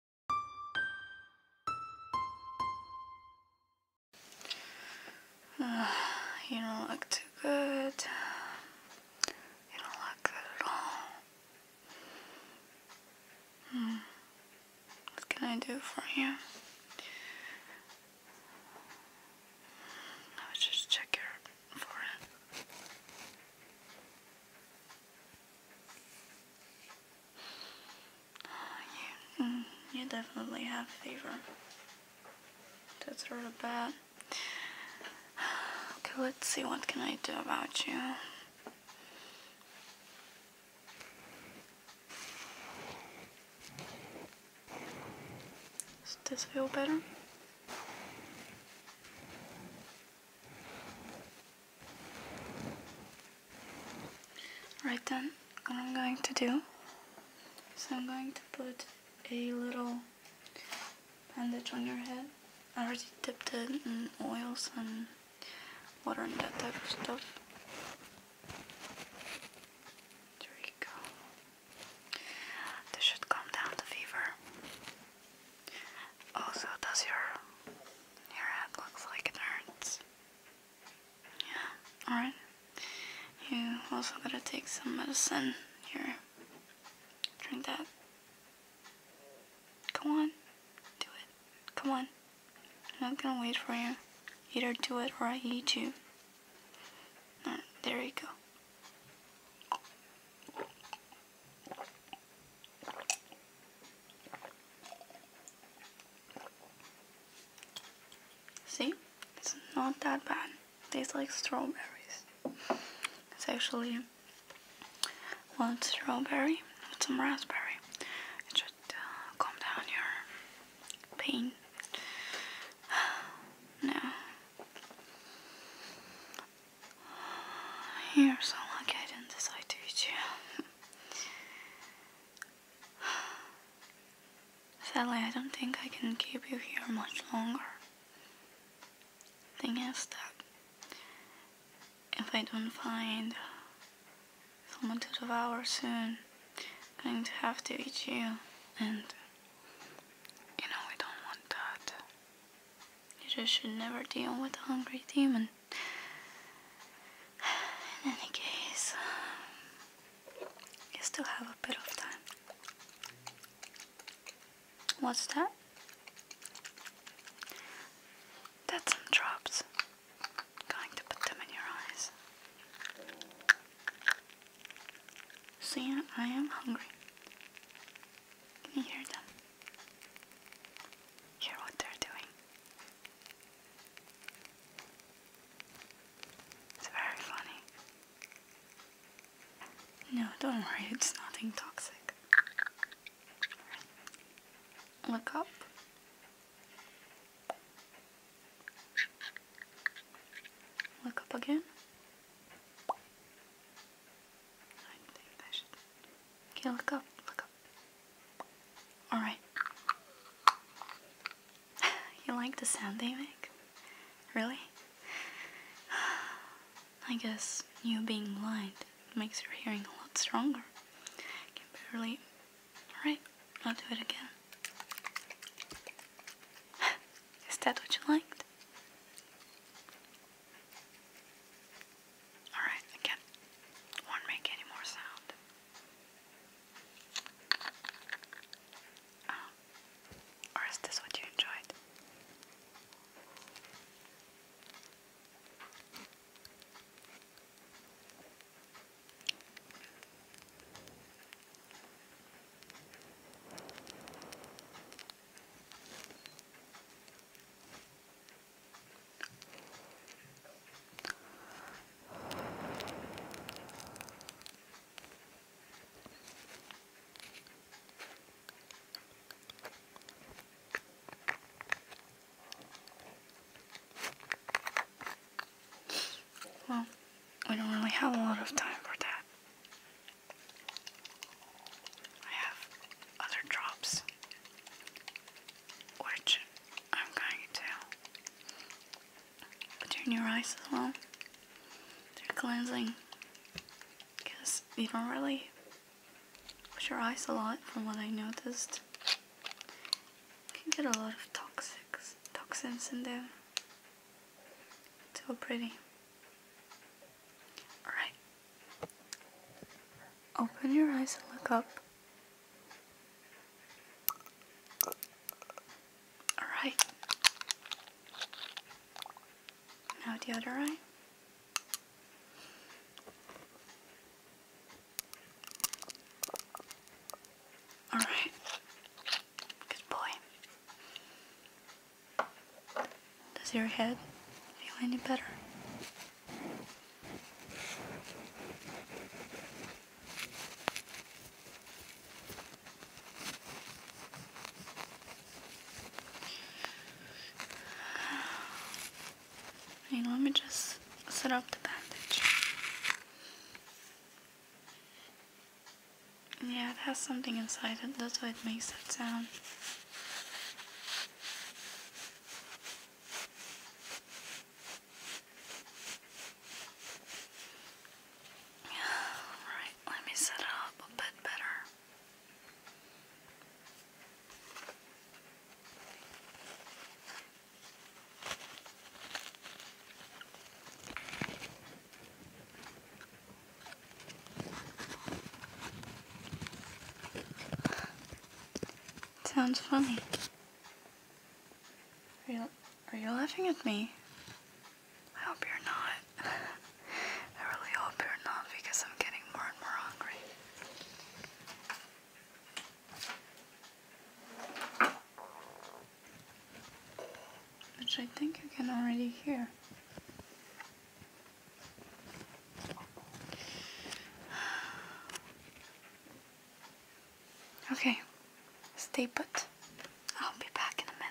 you don't look too good. You don't look good at all. Hmm. What can I do for you? I was just check your forehead. Uh, mm, you, definitely have fever. That's really bad. Okay, let's see what can I do about you. Does this feel better? Right then, what I'm going to do is I'm going to put a little bandage on your head. I already dipped it in oils and water and that type of stuff. There you go. This should calm down the fever. Also, does your your head looks like it hurts? Yeah. All right. You also gotta take some medicine here. Drink that. Come on, do it. Come on. I'm not gonna wait for you. Either do it or I eat you. there you go. See? It's not that bad. It tastes like strawberries. It's actually one strawberry with some raspberry. It should uh, calm down your pain. now, you're so lucky I didn't decide to eat you. Sadly, I don't think I can keep you here much longer. Thing is that if I don't find someone to devour soon, I'm going to have to eat you, and you know I don't want that. You just should never deal with a hungry demon. In any case, um, you still have a bit of time. What's that? That's some drops. Going to put them in your eyes. See, I am hungry. Can you hear them? Hear what they're doing. It's very funny. No, don't worry, it's nothing toxic. Look up. Look up again. I think I should Okay, look up, look up. Alright. you like the sound they make? Really? I guess you being blind makes your hearing a lot stronger. I can barely... Alright, I'll do it again. Is that what you liked? Alright, I won't make any more sound. Oh. Or is this what you enjoyed? Well, we don't really have a lot of time for that. I have other drops which I'm going to between your eyes as well. they cleansing because you don't really wash your eyes a lot from what I noticed. You can get a lot of toxins, toxins in there. So pretty. Alright. Open your eyes and look up. All right. Now the other eye. All right. Good boy. Does your head feel any better? let me just set up the bandage. Yeah, it has something inside it, that's why it makes that sound. Alright, let me set it up a bit better. Sounds funny. Are you, are you laughing at me? I hope you're not. I really hope you're not because I'm getting more and more hungry. Which I think you can already hear. Okay, stay put. I'll be back in a minute.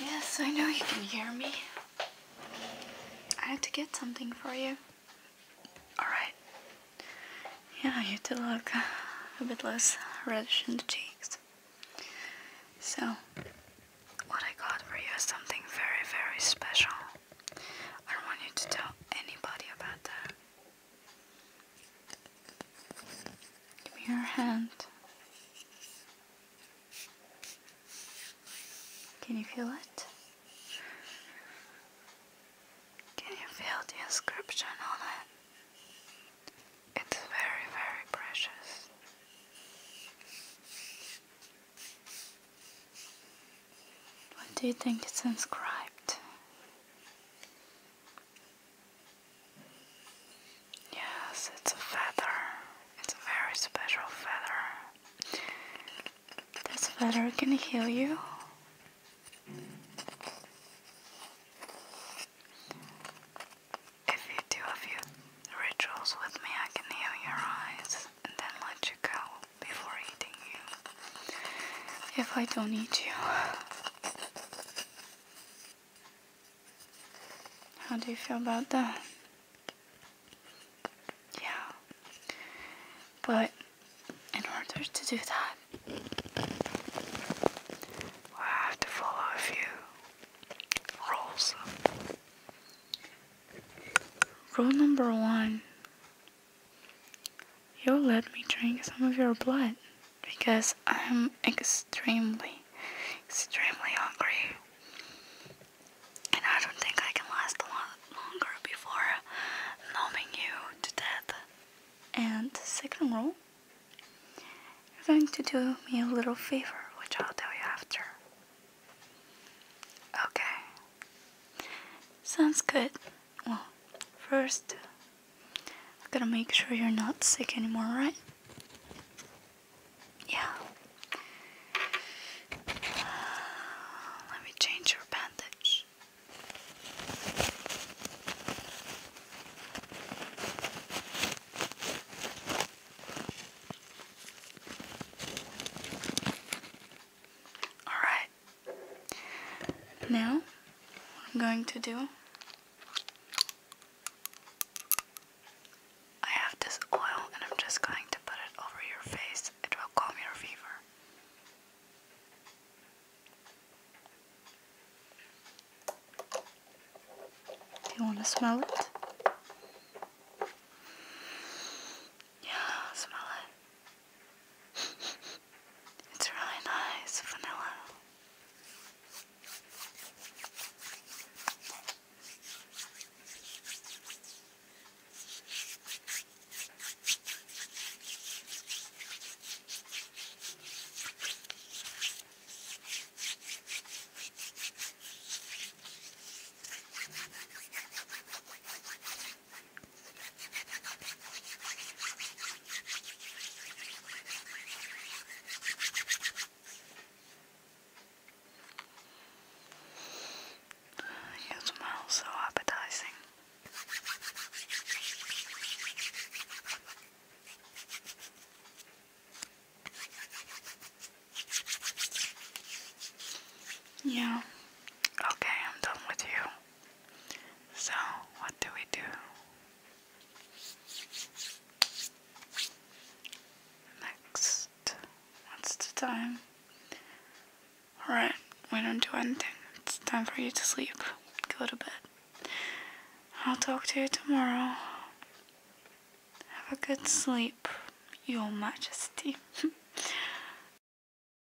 Yes, I know you can hear me. I had to get something for you. Alright. Yeah, you do look a bit less reddish in the cheeks. So, what I got for you is something very, very special. I don't want you to tell anybody about that. Give me your hand. Can you feel it? Can you feel the inscription on it? It's very, very precious. What do you think it's inscribed? Yes, it's a feather. It's a very special feather. This feather can heal you. If you do a few rituals with me, I can heal your eyes and then let you go before eating you if I don't need you. How do you feel about that? Yeah. But in order to do that, I have to follow a few rules. Rule number one You'll let me drink some of your blood because I'm extremely, extremely hungry. And I don't think I can last a lot longer before numbing you to death. And second rule, you're going to do me a little favor, which I'll tell you after. Okay, Sounds good. Well, first, I gotta make sure you're not sick anymore, right? Yeah. Let me change your bandage. All right. Now, I'm going to do, I have this oil and I'm just going to put it over your face. It will calm your fever. Do you want to smell it? Yeah, smell it. It's really nice, vanilla. You smell so appetizing. Yeah. Okay, I'm done with you. So, what do we do? Next, what's the time? Alright, we don't do anything. It's time for you to sleep. Go to bed. I'll talk to you tomorrow. Have a good sleep, Your Majesty.